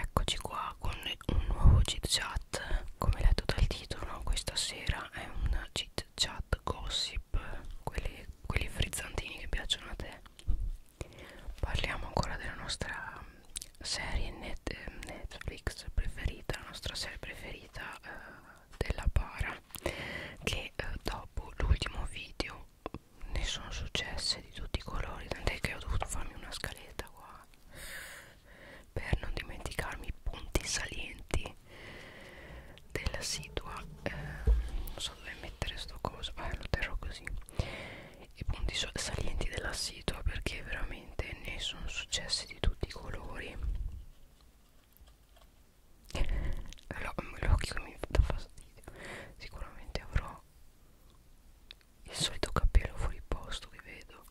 Eccoci qua con un nuovo chit chat Come letto dal titolo questa sera è un chit chat gossip quelli, quelli frizzantini che piacciono a te Parliamo ancora della nostra serie net, Netflix preferita La nostra serie preferita eh, della para Che eh, dopo l'ultimo video ne sono successe di tutti i colori tant'è che ho dovuto farmi una scaletta qua per non dimenticarmi i punti salienti della situa eh, non so dove mettere sto coso eh, lo terrò così i punti salienti della situa perché veramente ne sono successi di tutti i colori l'occhio mi dà fastidio sicuramente avrò il solito capello fuori posto che vedo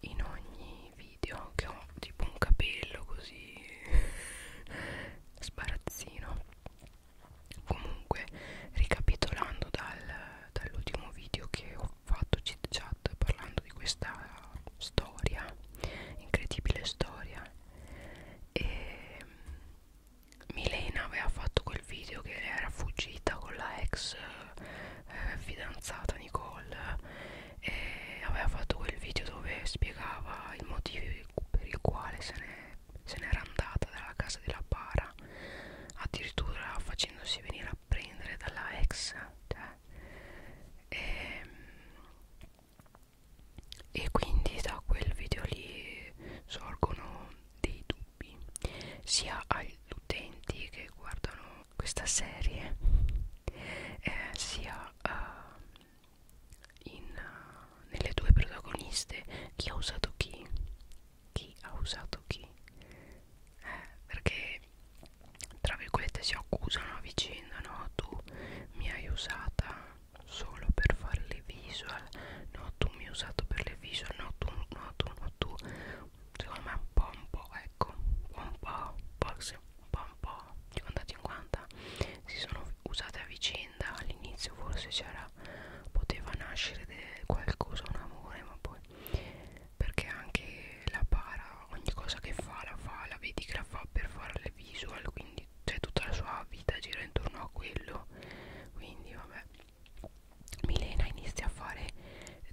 in ogni video che ho tipo un capello così sbarazzino comunque ricapitolando dal, dall'ultimo video che ho fatto chit chat parlando di questa storia incredibile storia e ehm, Milena aveva fatto quel video che era fuggita con la ex eh, fidanzata Nicole e aveva fatto quel video dove spiegava il motivo per il quale se n'era andata dalla casa della para addirittura facendosi venire a prendere dalla ex cioè. e, ehm, e quindi da quel video lì sorgono dei dubbi sia agli utenti che guardano questa serie eh, sia uh, in, uh, nelle due protagoniste chi ha usato chi chi ha usato chi eh, perché tra virgolette si accusano a vicenda no tu mi hai usata solo per fare le visual no tu mi hai usato per le visual no tu no tu no tu secondo me un po' un po' ecco un po' forse un po' un po' 50-50 si sono usate a vicenda all'inizio forse c'era poteva nascere qualcosa un amore ma poi perché anche la para ogni cosa che fa la fa la vedi che la fa per fare le visual quindi cioè tutta la sua vita gira intorno a quello quindi vabbè Milena inizia a fare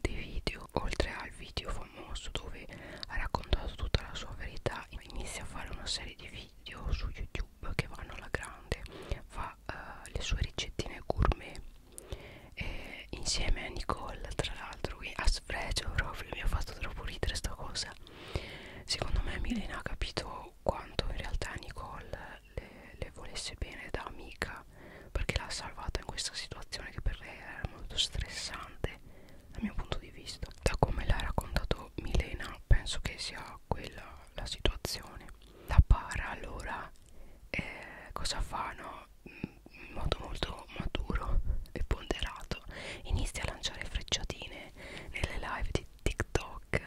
dei video oltre al video famoso dove ha raccontato tutta la sua verità inizia a fare una serie di video su youtube che vanno alla grande fa uh, le sue ricettine gourmet e insieme a Nicole tra l'altro a sfregio proprio mi ha fatto troppo ridere sta cosa secondo me Milena ha capito quanto in realtà Nicole le, le volesse bene da amica perché l'ha salvata in questa situazione che per lei era molto stressante dal mio punto di vista da come l'ha raccontato Milena penso che sia quella la situazione la para allora eh, cosa fa no? in modo molto maturo e ponderato inizia a lanciare frecciatine nelle live di TikTok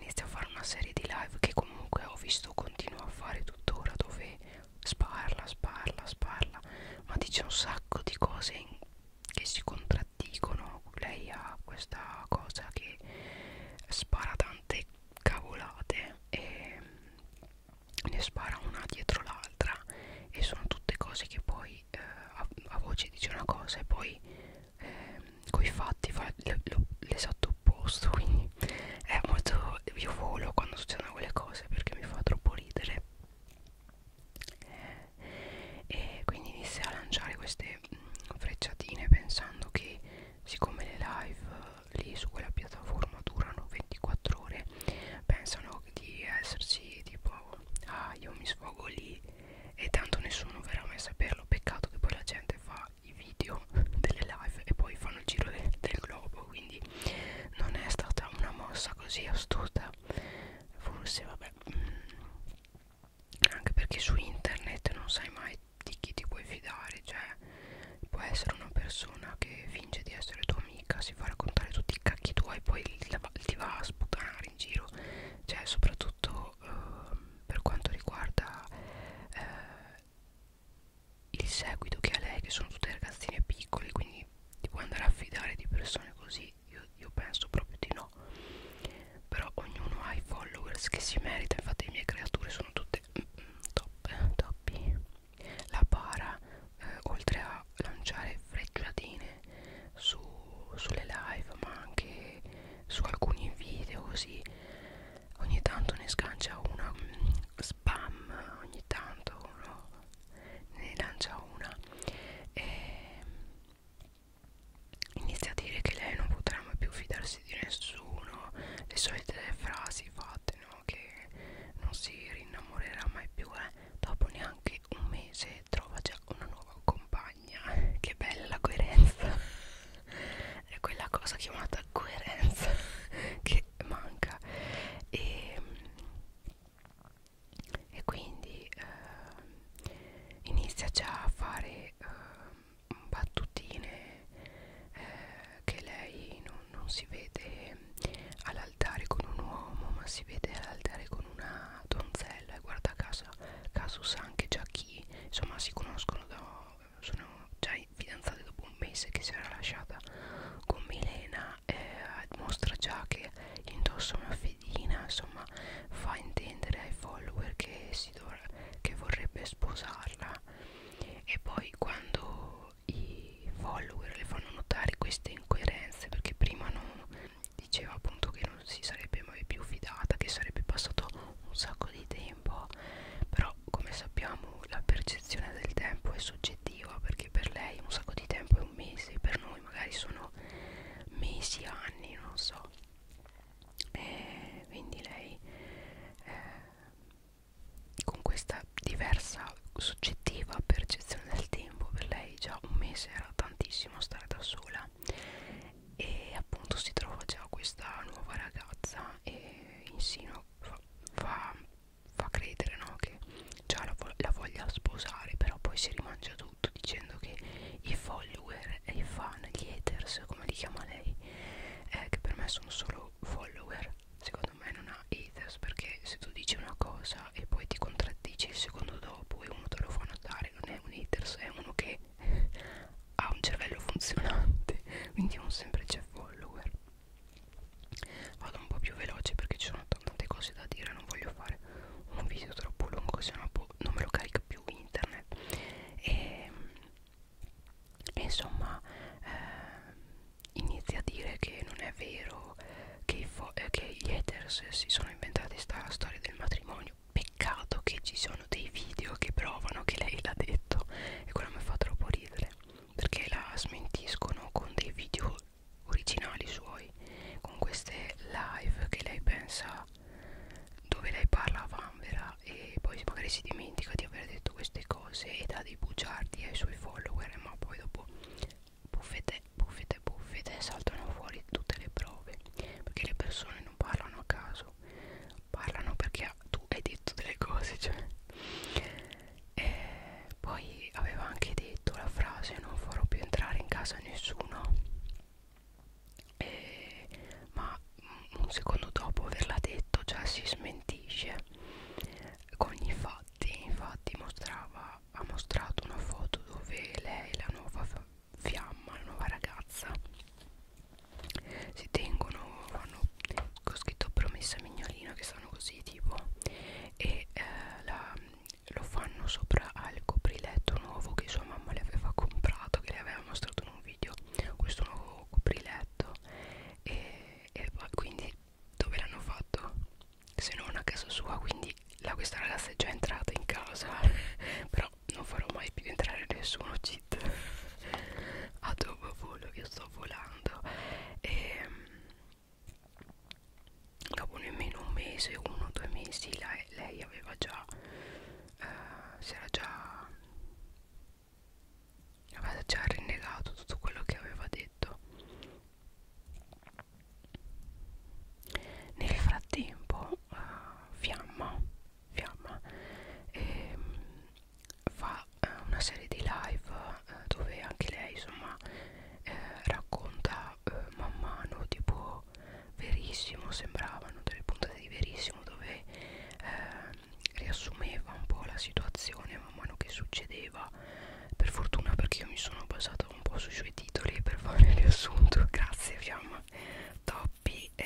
inizio a fare una serie di live che comunque ho visto continuo a fare tuttora dove sparla, sparla, sparla ma dice un sacco di cose in, che si contraddicono lei ha questa cosa che spara tante cavolate e ne spara una dietro l'altra e sono tutte cose che poi eh, a, a voce dice una cosa e poi ehm, coi fatti fa l'esatto opposto quindi è molto io volo quando succedono quelle cose perché mi fa troppo ridere e quindi inizia a lanciare queste mh, mm, frecciatine pensando che siccome le live eh, lì su quella piattaforma durano 24 ore pensano di esserci tipo ah io mi sfogo lì e tanto nessuno verrà mai a saperlo peccato che poi la gente fa fa i video delle live e poi fanno il giro de del globo quindi non è stata una mossa così astuta forse vabbè mm, anche perché su internet non sai mai di chi ti puoi fidare cioè può essere una persona che finge di essere tua amica si fa raccontare tutti i cacchi tuoi e poi ti va a sputanare in giro cioè soprattutto questo eh, per quanto riguarda eh, il seguito che ha lei che sono tutte ragazzine piccole quindi ti puoi andare a fidare di persone così io, io penso proprio di no però ognuno ha i followers che si merita infatti le mie creature sono tutte mm, mm top eh, toppi la para eh, oltre a lanciare frecciatine su, sulle live ma anche su alcuni video così ogni tanto ne sgancia una mh, mm, spam ogni tanto no? ne lancia una e mm, inizia a dire che lei non potrà mai più fidarsi di nessuno le solite frasi fatte no? che non si rinnamorerà mai più eh? dopo neanche un mese trova già una nuova compagna montagna che bella la coerenza è quella cosa chiamata coerenza che manca e, ehm, e quindi eh, inizia già a fare eh, battutine eh, che lei non, non si vede all'altare con un uomo ma si vede all'altare con una donzella bella e eh, guarda casa caso sa anche già chi insomma si conoscono da sono già fidanzate dopo un mese che si era lasciata con Milena eh, mostra già che indossa una fedina insomma fa intendere ai follower che, si che vorrebbe sposarla e poi quando i follower le fanno notare queste incoerenze perché prima non diceva appunto che non si sarebbe mai più fidata che sarebbe passato un sacco di tempo però come sappiamo la percezione del tempo è soggettiva perché per lei un sacco di tempo è un mese per noi magari sono mesi, anni, non so e quindi lei eh, con questa diversa soggettiva percezione del tempo per lei già un mese era tantissimo stare da sola e appunto si trova già questa nuova ragazza e insino fa, fa, fa credere no? che già la, la voglia sposare però poi si rimangia tutto dicendo che i follower e i fan, gli haters come li chiama lei eh, che per me sono solo follower secondo me non ha haters perché se tu dici una cosa e poi ti contraddici il secondo dopo e uno te lo fa notare non è un haters è uno che ha un cervello funzionante quindi un semplice follower vado un po' più veloce perché ci sono tante cose da dire non voglio fare un video troppo lungo sennò boh, non me lo carica più internet e, ehm, e insomma eh, inizia a dire che non è vero che, i eh, che gli haters si sono inventati questa storia del matrimonio peccato che ci sono dei video che provano che lei l'ha detto e quello mi fa troppo ridere perché la smentiscono con dei video originali suoi con queste live che lei pensa dove lei parla a vanvera e poi magari si dimentica di aver detto queste cose e dà dei bugiardi ai suoi follower ma poi dopo buffete buffete buffete saltano fuori tutte le prove perché le persone non parlano a caso parlano perché tu hai detto delle cose cioè. e poi aveva anche detto la frase non farò più entrare in casa nessuno e, ma un secondo dopo averla detto già si smentisce con i fatti infatti mostrava ha mostrato una foto dove lei la nuova fiamma, la nuova ragazza si tengono, fanno, ho scritto promessa mignolino che sono così tipo e eh, la, lo fanno sopra al copriletto nuovo che sua mamma le aveva comprato, che le aveva mostrato in un video, questo nuovo copriletto e, e quindi dove l'hanno fatto? Se non a casa sua, quindi la, questa ragazza è già entrata in casa, però non farò mai più entrare nessuno cheat a dove volo io sto volando e ehm, dopo nemmeno un mese uno o due mesi lei, lei aveva già eh, si era già aveva già rinnegato tutto quello che aveva detto nel frattempo eh, fiamma fiamma e ehm, fa eh, una serie di live eh, dove anche lei insomma eh, racconta eh, man mano tipo verissimo sembravano delle puntate di verissimo dove eh, riassumeva un po' la situazione man mano che succedeva per fortuna perché io mi sono basata un po' sui suoi titoli per fare il riassunto grazie fiamma top troppi e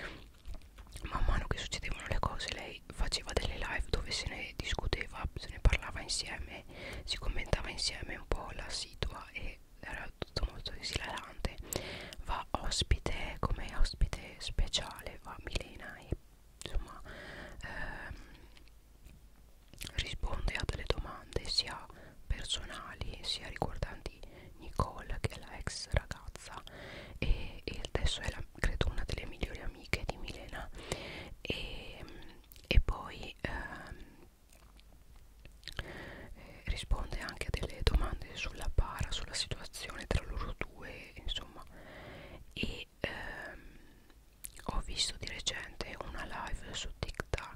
man mano che succedevano le cose lei faceva delle live dove se ne discuteva, se ne parlava insieme, si commentava insieme un po' la situa e era tutto molto esilarante. Va ospite come ospite speciale, va Milena e insomma ehm, risponde a delle domande sia personali sia riguardanti Nicole che è la ex ragazza e, e adesso è la, credo una delle migliori amiche di Milena e, e poi ehm, eh, risponde anche a delle domande sulla para, sulla situazione tra loro due insomma e ehm, ho visto di recente una live su TikTok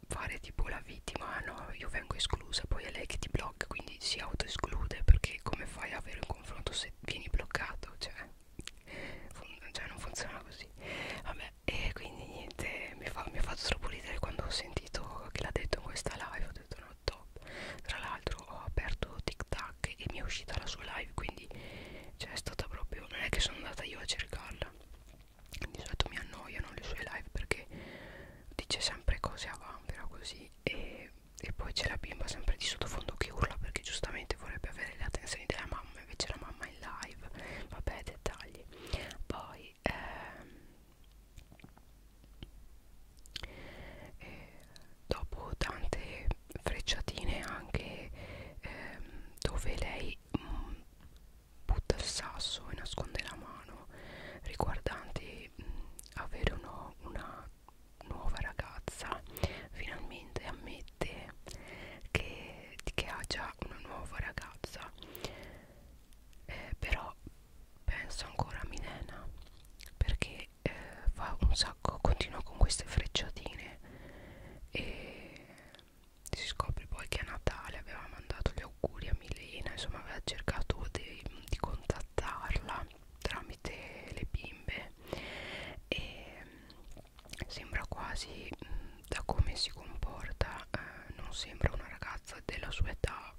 fare tipo la vittima ah no io vengo esclusa poi è lei che ti blocca quindi si autoesclude perché come fai ad avere un confronto se vieni bloccato cioè, cioè non funziona così vabbè e quindi niente mi, fa, mi ha fatto troppo ridere quando ho sentito che l'ha detto in questa live ho detto no top tra l'altro ho aperto TikTok e mi è uscita la sua live quindi cioè è stata proprio non è che sono andata io a cercarla di solito mi annoiano le sue live perché dice sempre cose a vampira così e, e poi c'è la bimba sempre di sottofondo che urla perché giustamente vorrebbe avere le attenzioni della mamma invece la mamma è in live vabbè dettagli poi ehm, eh, dopo tante frecciatine anche ehm, dove lei mh, mm, butta il sasso e nasconde la mano riguardante mh, mm, avere uno, una nuova ragazza finalmente ammette che, che ha già una nuova ragazza eh, però penso ancora a Milena perché eh, fa un sacco continua con queste frecciatine e si scopre poi che a Natale aveva mandato gli auguri a Milena insomma aveva cercato di, di contattarla tramite le bimbe e mm, sembra quasi mm, da come si comporta eh, non sembra una ragazza della sua età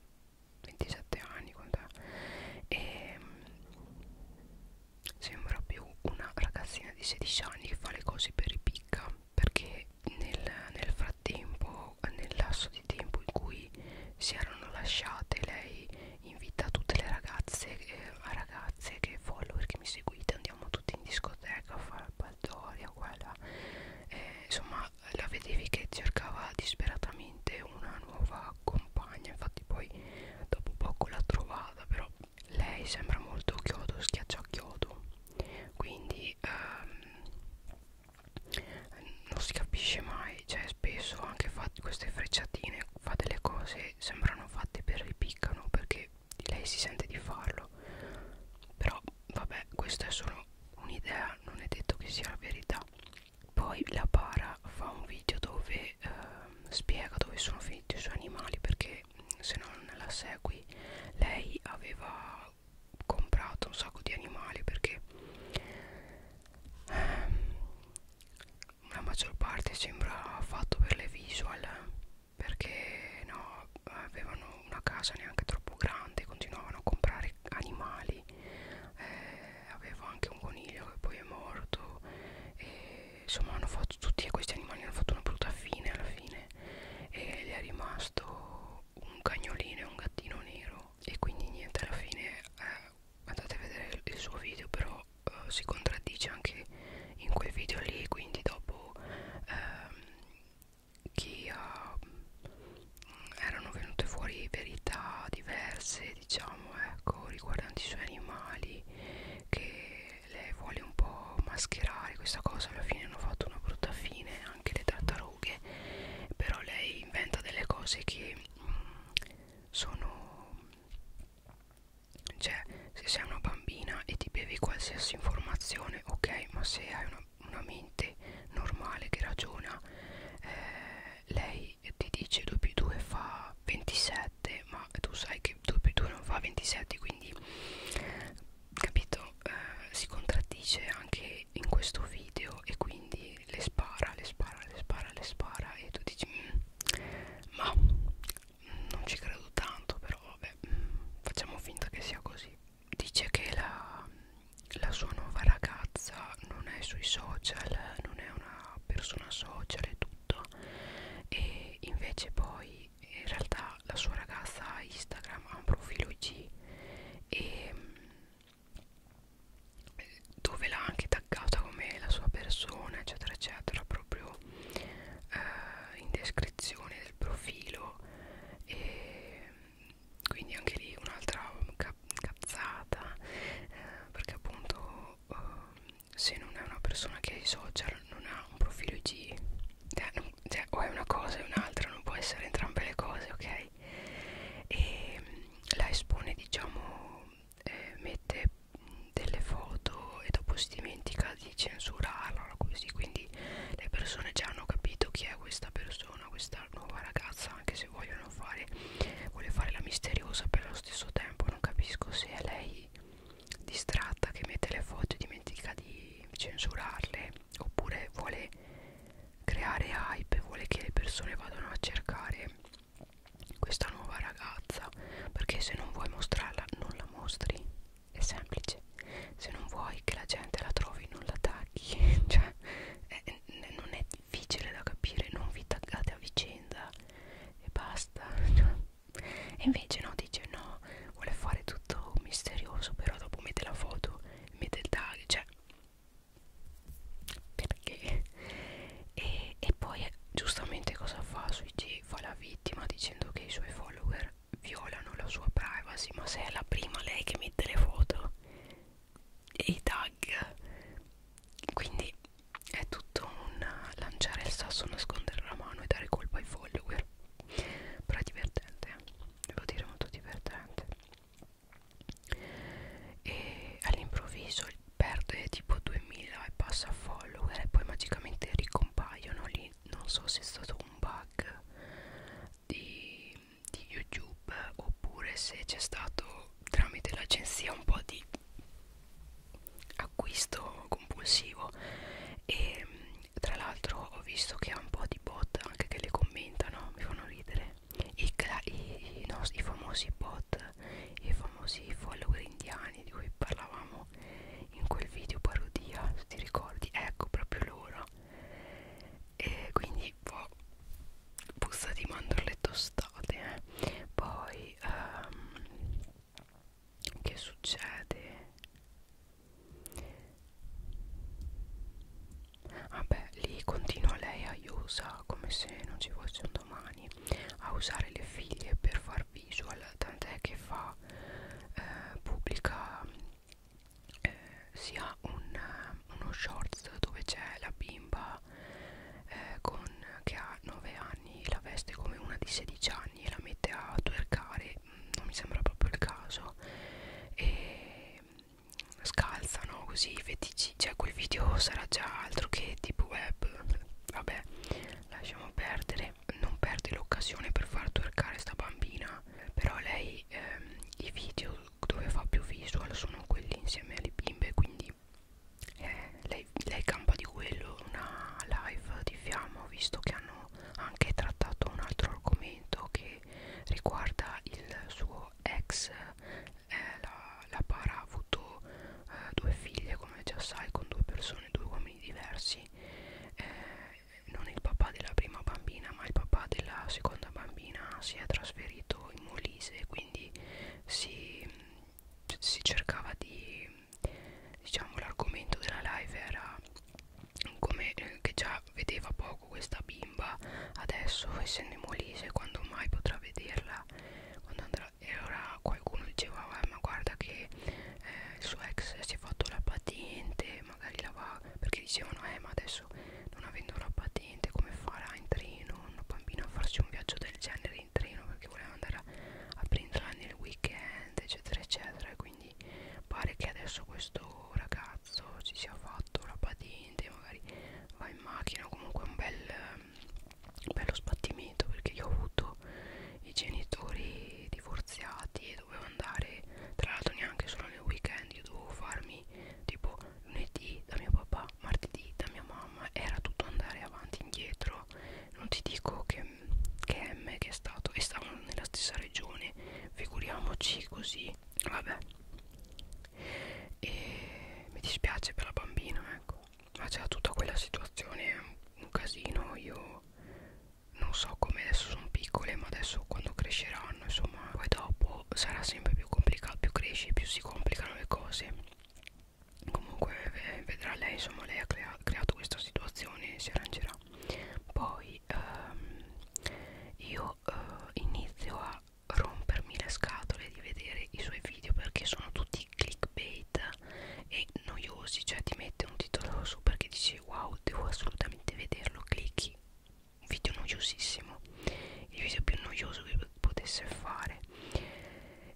27 anni e mm, sembra più una ragazzina di 16 anni che fa le cose per i picca perché che nel, nel frattempo, nel lasso di tempo in cui si erano lasciate, lei invita tutte le ragazze, eh, ragazze che follower che mi seguite, andiamo tutti in discoteca a fare baldoria, quella. Eh, insomma, la vedevi che cercava disperatamente una nuova compagna, infatti poi dopo poco l'ha trovata, però lei sembra molto chiodo, schiaccia a chiodo quindi ehm, non si capisce mai cioè spesso anche queste frecciatine fa delle cose sembrano fatte per ripiccano perché lei si sente di farlo però vabbè questa è solo un'idea non è detto che sia la verità poi la para fa un video dove eh, spiega dove sono finiti i suoi animali perché se non la segui lei aveva ho comprato un sacco di animali perché ehm, la maggior parte sembra fatto per le visual perché no avevano una casa neanche troppo grande continuavano a comprare animali eh, avevo anche un coniglio che poi è morto e, insomma hanno fatto tutti questi animali hanno fatto una brutta fine alla fine bene e le è rimasto un cagnolino e un gattino nero e quindi niente alla fine eh, andate a vedere il suo video però eh, si contraddice anche in quel video lì quindi dopo ehm, chi ha, ehm, erano venute fuori verità diverse diciamo ecco riguardanti i suoi animali che lei vuole un po' mascherare questa cosa alla fine hanno fatto una brutta fine anche le tartarughe però lei inventa delle cose che mh, mm, sono cioè se sei una bambina e ti bevi qualsiasi informazione ok ma se hai una, una mente normale che ragiona eh, lei ti dice 2 più 2 fa 27 ma tu sai che 2 più 2 non fa 27 quindi capito eh, si contraddice anche in questo video e quindi le spara le spara le spara le spara e tu dici mm, ma non ci credo tanto però vabbè mm, facciamo finta che sia così dice che la, la sua nuova ragazza non è sui social non è una persona social e tutto e invece poi poi in realtà la sua ragazza ha Instagram, ha un profilo IG e mm, dove l'ha anche taggata come la sua persona eccetera eccetera proprio eh, in descrizione del profilo e mm, quindi anche lì un'altra cazzata eh, perché appunto eh, se non è una persona che ha i social non ha un profilo IG cioè, non, cioè, o è una cosa o è un'altra, non può essere entrambe le cose, ok? E mm, la espone, diciamo, eh, mette mm, delle foto e dopo si dimentica di censurarla, così, quindi le persone già hanno capito chi è questa persona, questa nuova ragazza, anche se vogliono fare, vuole fare la misteriosa, però allo stesso tempo non capisco se è lei distratta che mette le foto e dimentica di di censurarle oppure vuole creare hype vuole che le persone vadano a cercare questa nuova ragazza perché se non vuoi mostrarla non la mostri è semplice se non vuoi che la gente la trovi non la tagli cioè è, è, non è difficile da capire non vi taggate a vicenda e basta e invece no dice no no vuole fare tutto misterioso però dopo mette la foto mette il tag cioè perché e, e poi giustamente cosa fa su IG fa la vittima dicendo che i suoi follower violano la sua privacy ma se è la prima lei che mette le foto e i tag quindi è tutto un lanciare il sasso nascondere la mano e dare colpa ai follower però è divertente eh. devo dire molto divertente e all'improvviso perde tipo 2000 e passa a follower e poi magicamente ricompaiono lì non so se è stato un bug di, di youtube oppure se c'è stato tramite l'agenzia un po' di acquisto compulsivo e tra l'altro ho visto che ha un po' di bot anche che le commentano mi fanno ridere i, i, no, i famosi bot i famosi follower indiani di cui parlavamo in quel video parodia se ti ricordi ecco proprio loro e quindi boh, busta di mandorle tostate eh. poi um, che succede Vabbè, ah lì continua lei a Yusa come se non ci fosse un domani a usare le figlie per far visual, tant'è che fa eh, pubblica eh, sia un, eh, uno shorts dove c'è la bimba eh, con, che ha 9 anni, la veste come una di 16 anni e la mette a twerkare non mi sembra proprio il caso e scalzano così i fetici cioè quel video sarà già altro che tipo web vabbè lasciamo perdere non perdi l'occasione per far twerkare sta bambina però lei ehm, i video dove fa più visual sono quelli insieme alle bimbe quindi eh, lei, lei campa di quello una live di fiamma ho visto che hanno anche trattato un altro argomento che riguarda il suo ex eh, la, la para ha avuto eh, due figlie come già sai con due persone due uomini diversi eh, non il papà della prima bambina ma il papà della seconda bambina si è trasferito in Molise quindi si, si cercava di diciamo l'argomento della live era come eh, che già vedeva poco questa bimba adesso essendo in Molise quando mai potrà vederla quando andrà e ora qualcuno diceva ah, ma guarda che eh, il suo ex si è fatto la patente magari la va perché dicevano eh ma adesso non avendo la patente come farà in treno una bambina a farsi un viaggio del genere in treno perché voleva andare a, a prenderla nel weekend eccetera eccetera e quindi quindi pare che adesso questo ragazzo si sia fatto la patente magari va in macchina comunque è un bel un bello sbattimento perché io ho avuto i genitori divorziati e dovevo andare tra l'altro neanche solo nel weekend io dovevo farmi tipo lunedì da mio papà martedì da mia mamma era tutto andare avanti e indietro non ti dico che che M che è stato e stavano nella stessa regione figuriamoci così vabbè e mi dispiace per la bambina ecco ma c'era tutta quella situazione un casino io non so come adesso sono piccole ma adesso quando cresceranno insomma poi dopo sarà sempre più complicato più cresce più si complicano le cose comunque vedrà lei insomma lei ha crea creato questa situazione si arrangerà poi ehm, io eh, inizio a rompermi le scatole di vedere i suoi video perché sono tutti clickbait e noiosi cioè ti mette un titolo su perché dici wow devo assolutamente vederlo clicchi un video noiosissimo il video più noioso che potesse fare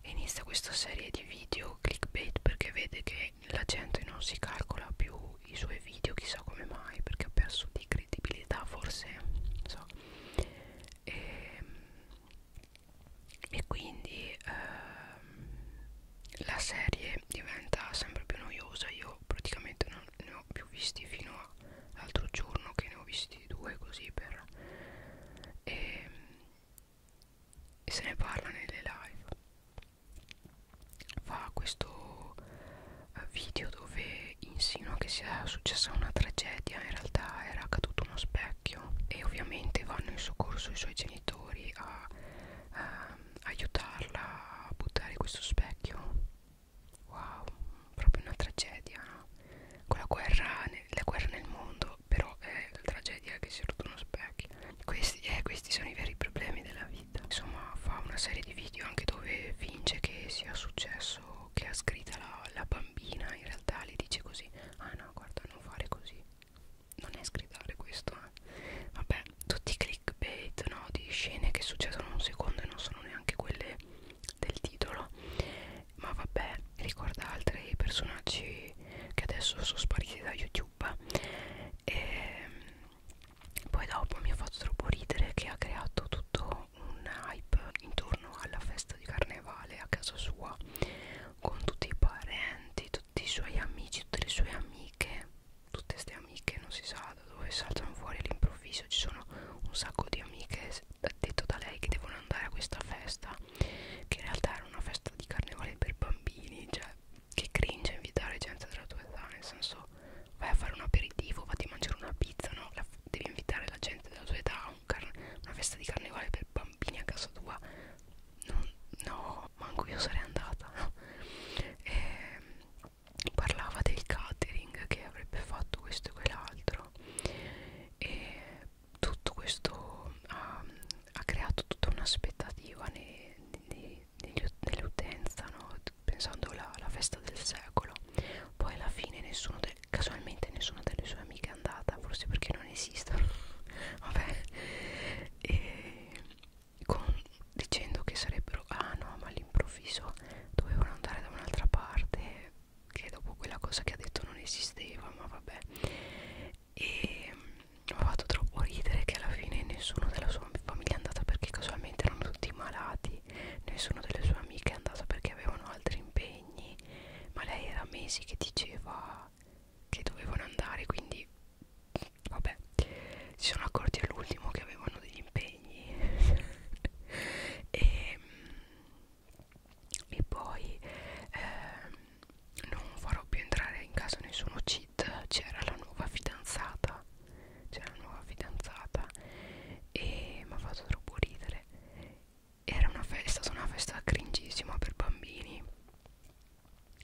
e inizia questa serie di video clickbait perché vede che la gente non si calcola più i suoi video chissà come mai perché ha perso di credibilità forse non so e, ehm, e quindi eh, la serie diventa sempre più noiosa io praticamente non ne ho più visti fino all'altro giorno che ne ho visti due così per e, ehm, e se ne parla nelle live fa questo eh, video dove insinua che sia successa una tragedia in realtà era caduto uno specchio e ovviamente vanno in soccorso i suoi genitori a ehm, aiutarla a buttare questo specchio wow proprio una tragedia no? con la guerra, la guerra nel mondo però è la tragedia che si è rotto uno specchio questi, eh, questi sono i veri problemi della vita vita insomma fa una serie di video anche dove finge che sia successo che ha scritta la, la bambina in realtà le dice così ah no guarda non fare così non è sgridare questo eh. vabbè tutti i clickbait no, di scene che succedono un secondo e non sono neanche quelle del titolo ma vabbè ricorda altri personaggi che adesso sono spariti da youtube e ehm, poi dopo mi ha fatto troppo ridere che ha creato tutto un hype intorno alla festa di carnevale a casa sua con tutti i parenti, tutti i suoi amici, tutte le sue amiche tutte queste amiche non si sa da dove saltano fuori all'improvviso ci sono un sacco di amiche detto da lei che devono andare a questa festa che in realtà era una festa di carnevale per bambini cioè cioè che cringe invitare gente della tua età nel senso vai a fare un aperitivo vatti a mangiare una pizza no la, devi invitare la gente della tua età a un una festa di carnevale per bambini a casa tua non, no manco io sarei andata no? e, ehm, parlava del catering che avrebbe fatto questo e quell'altro e tutto questo ha, ha creato tutta un'aspettativa nei, nei dell'utenza, no? pensando alla, alla festa del secolo. Poi alla fine nessuno de, casualmente nessuna delle sue amiche è andata, forse perché non esistono, vabbè, e con, dicendo che sarebbero, ah no, ma all'improvviso dovevano andare da un'altra parte che dopo quella cosa che ha detto non esisteva, ma vabbè e mi mm, ha fatto troppo ridere che alla fine nessuno della sua famiglia è andata perché casualmente erano tutti malati nessuno delle sue amiche è andata perché avevano altri impegni ma lei era mesi che diceva che dovevano andare quindi vabbè si sono accorti all'ultimo che avevano degli impegni e, mm, e poi eh, non farò più entrare in casa nessuno cheat c'era la nuova fidanzata c'era la nuova fidanzata e mi ha fatto troppo ridere era una festa, è stata una festa cringissima per bambini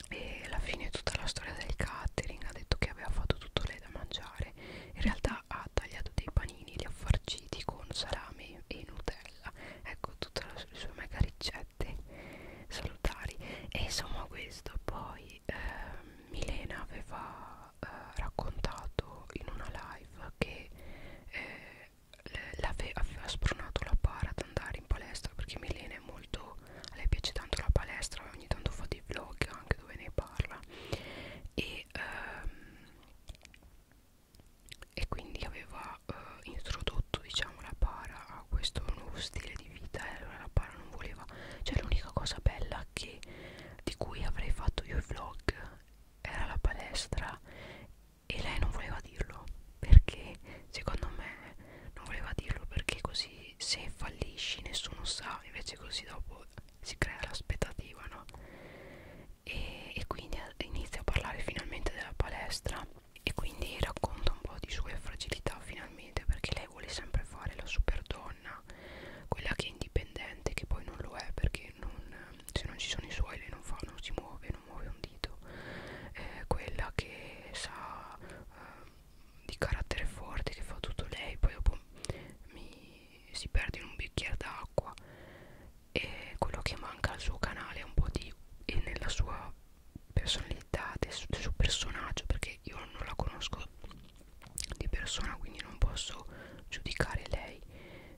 e alla fine tutta la storia del catering ha detto che aveva fatto tutto lei da mangiare in realtà ha tagliato dei panini li ha farciti con salame e nutella ecco tutta la, le sue mega ricette effetti salutari e insomma questo poi eh, Milena aveva eh, raccontato in una live che eh, ave aveva spronato la para ad andare in palestra perché Milena è molto a lei piace tanto la palestra ogni tanto fa dei vlog anche dove ne parla e ehm, e quindi aveva eh, introdotto diciamo la para a ah, questo nuovo stile di vita e eh, allora la palla non voleva cioè l'unica cosa bella che, di cui avrei fatto io i vlog era la palestra e lei non voleva dirlo perché secondo me non voleva dirlo perché così se fallisci nessuno sa invece così dopo si crea l'aspettativa no e, e quindi inizia a parlare finalmente della palestra e quindi racconta un po' di sue fragilità finalmente perché lei vuole sempre fare la superdonna quella che è indipendente che poi non lo è perché non, se non ci sono i suoi lei non fa non si muove non muove un dito eh, quella che sa eh, di carattere forte che fa tutto lei poi dopo mi, si perde in un bicchiere d'acqua e quello che manca al suo canale è un po' di e nella sua personalità del suo, del suo personaggio perché io non la conosco di persona quindi non posso giudicare lei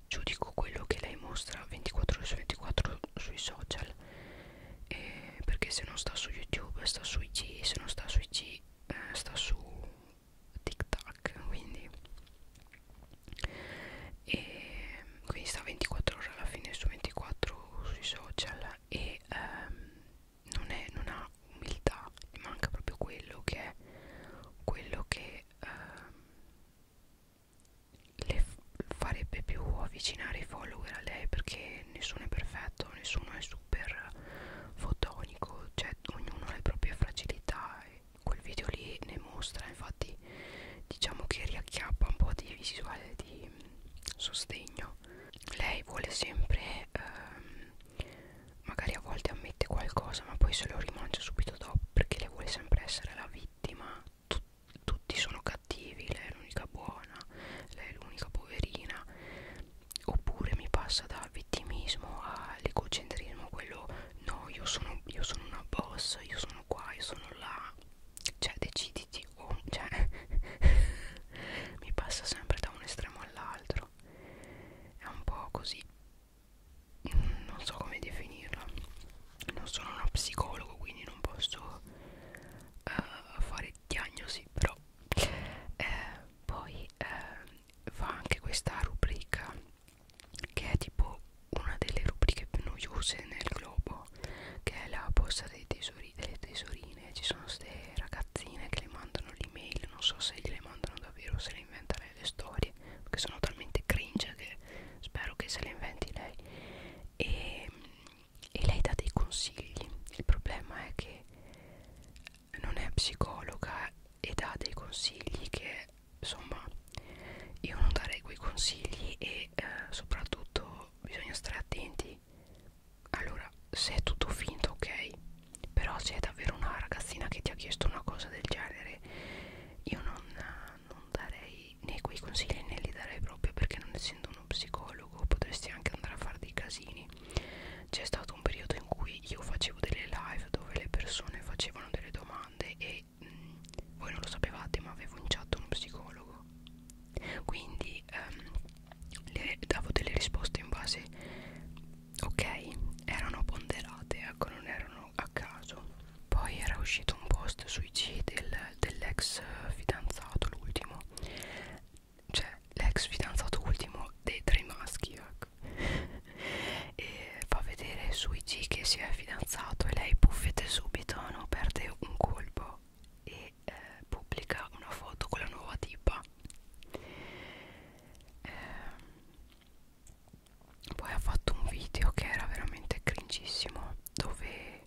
giudico quello che lei mostra 24 ore su 24 sui social eh, perché se non sta su youtube sta su IG se non sta su IG eh, sta su tiktok quindi e quindi sta 24 ore alla fine su 24 sui social e ehm, non, è, non ha umiltà, gli manca proprio quello che è quello che ehm, le farebbe più avvicinare i follower a lei perché nessuno è perfetto, nessuno è super fotonico, cioè ognuno ha le proprie fragilità e quel video lì ne mostra, infatti diciamo che riacchiappa un po' di visuale di mm, sostegno lei vuole sempre ehm, magari a volte ammette qualcosa ma poi se lo rimangia subito dopo perché lei vuole sempre essere la vittima Tut tutti sono cattivi lei è l'unica buona lei è l'unica poverina oppure mi passa da vittimismo all'egocentrismo quello no io sono, io sono una boss io sono qua io sono là cioè deciditi oh, cioè mi passa sempre da un estremo all'altro è un po' così non so come definirla non sono uno psicologo quindi non posso uh, fare diagnosi però eh, poi eh, fa anche questa rubrica che è tipo una delle rubriche più noiose nel globo che è la borsa dei, dei tesori, delle tesorine ci sono queste ragazzine che le mandano l'email non so se gliele mandano davvero se le inventa lei le storie perché sono talmente cringe che spero che se le inventi lei e, ehm, e lei dà dei consigli il problema è che non è psicologa e dà dei consigli che insomma io non darei quei consigli e eh, soprattutto bisogna stare attenti allora se è tutto finto ok però se è davvero una ragazzina che ti ha chiesto una cosa del genere io non, non darei né quei consigli né li darei proprio perché non essendo uno psicologo potresti anche andare a fare dei casini c'è stato un periodo in cui io facevo delle live dove le persone facevano delle domande e mh, mm, voi non lo sapevate ma avevo in chat uno psicologo quindi ehm, le davo delle risposte in base ok erano ponderate ecco non erano a caso poi era uscito un post sui G del, dell'ex fidanzato l'ultimo cioè l'ex fidanzato ultimo dei tre maschi ecco. e fa vedere sui G che si è fidanzato e lei buffete subito non perde un colpo e eh, pubblica una foto con la nuova tipa eh, poi ha fatto un video che era veramente cringissimo dove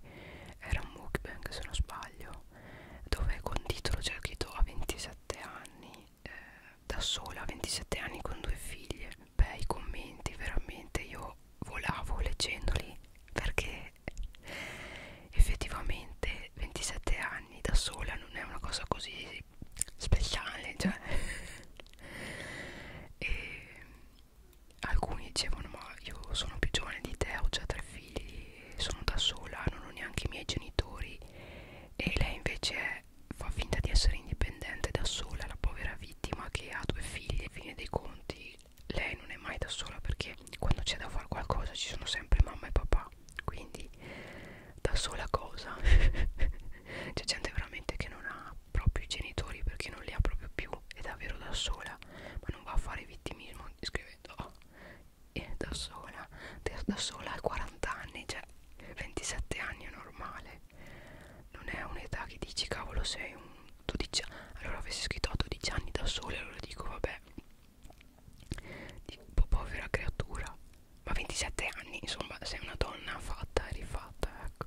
era un mukbang se non sbaglio dove con titolo c'è cioè, scritto a 27 anni eh, da sola a 27 anni con due figlie beh i commenti veramente io volavo leggendoli perché effettivamente 27 anni da sola non è una cosa così speciale cioè. e alcuni dicevano ma io sono più giovane di te ho già tre figli sono da sola non ho neanche i miei genitori e lei invece è, fa finta di essere indipendente da sola la povera vittima che ha due figli e fine dei conti lei non è mai da sola perché quando c'è da fare qualcosa ci sono sempre mamma e papà quindi da sola cosa c'è gente veramente che non ha proprio i genitori perché non li ha proprio più è davvero da sola ma non va a fare vittimismo scrivendo oh, è da sola da sola a 40 anni cioè 27 anni è normale non è un'età che dici cavolo sei un 12 allora avessi scritto a 12 anni da sola allora dico vabbè cioè tipo povera creatura ma 27 anni insomma sei una donna fatta e rifatta ecco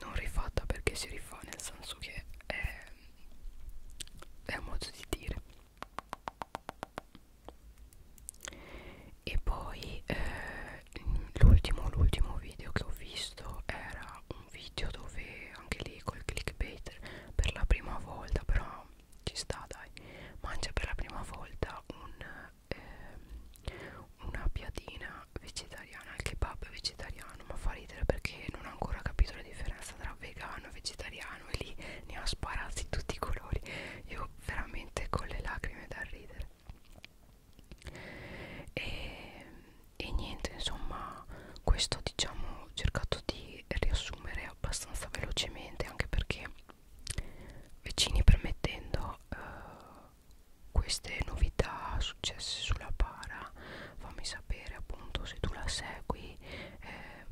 non rifatta perché si rifà nel senso che è, è un modo di dire e poi eh, l'ultimo l'ultimo video che ho visto era un video dove anche lì col clickbait per la prima volta però ci sta dai mangia per la prima volta un, ehm, una piadina vegetariana il kebab vegetariano ma fa ridere perché non ha ancora capito la differenza tra vegano e vegetariano e lì ne ha sparati tutti i colori io veramente con le lacrime da ridere e ehm, e niente insomma questo diciamo ho cercato di riassumere abbastanza velocemente anche perché vicini permettendo eh, queste novità successe sulla para fammi sapere appunto se tu la segui eh,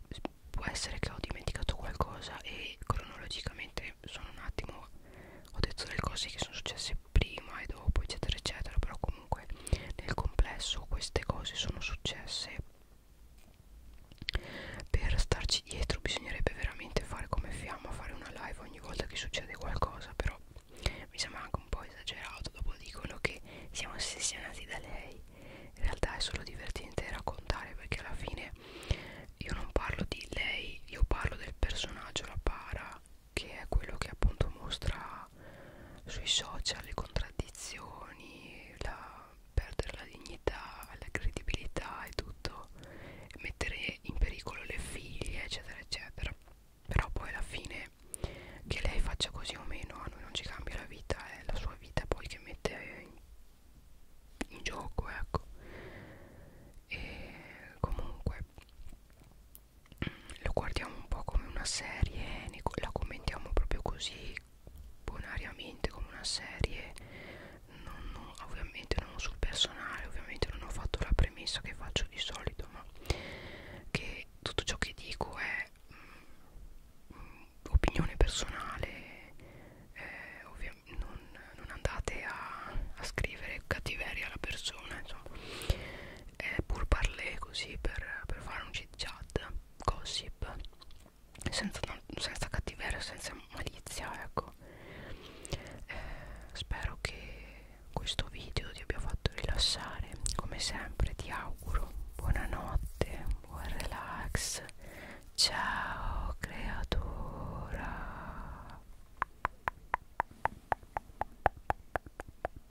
può essere che ho dimenticato qualcosa e cronologicamente sono un attimo ho detto delle cose che sono successe prima ed dopo eccetera eccetera però comunque nel complesso queste cose sono successe per starci dietro bisognerebbe veramente fare come fiamma fare una live ogni volta che succede qualcosa però mi sembra anche un po' esagerato dopo dicono che siamo ossessionati da lei in realtà è solo divertente raccontare perché alla fine io non parlo di lei io parlo del personaggio la para che è quello che appunto mostra sui social le contraddizioni, la, perdere la dignità, la credibilità e tutto, mettere in pericolo le figlie, eccetera, eccetera. Però poi alla fine che lei faccia così o meno a noi non ci cambia la vita, è eh, la sua vita poi che mette in, in gioco, ecco. E comunque lo guardiamo un po' come una serie, la commentiamo proprio così bonariamente come una serie, non, non, ovviamente non sul personale, ovviamente non ho fatto la premessa che faccio di solito, ma che tutto ciò che dico è mh, mm, mh, mm, opinione personale, eh, ovviamente non, non andate a, a scrivere cattiveria alla persona, insomma, eh, pur parlé così per, per fare un sceneggiata gossip senza, senza cattiveria senza malizia ecco eh, spero che questo video ti abbia fatto rilassare come sempre ti auguro buonanotte buon relax ciao creatura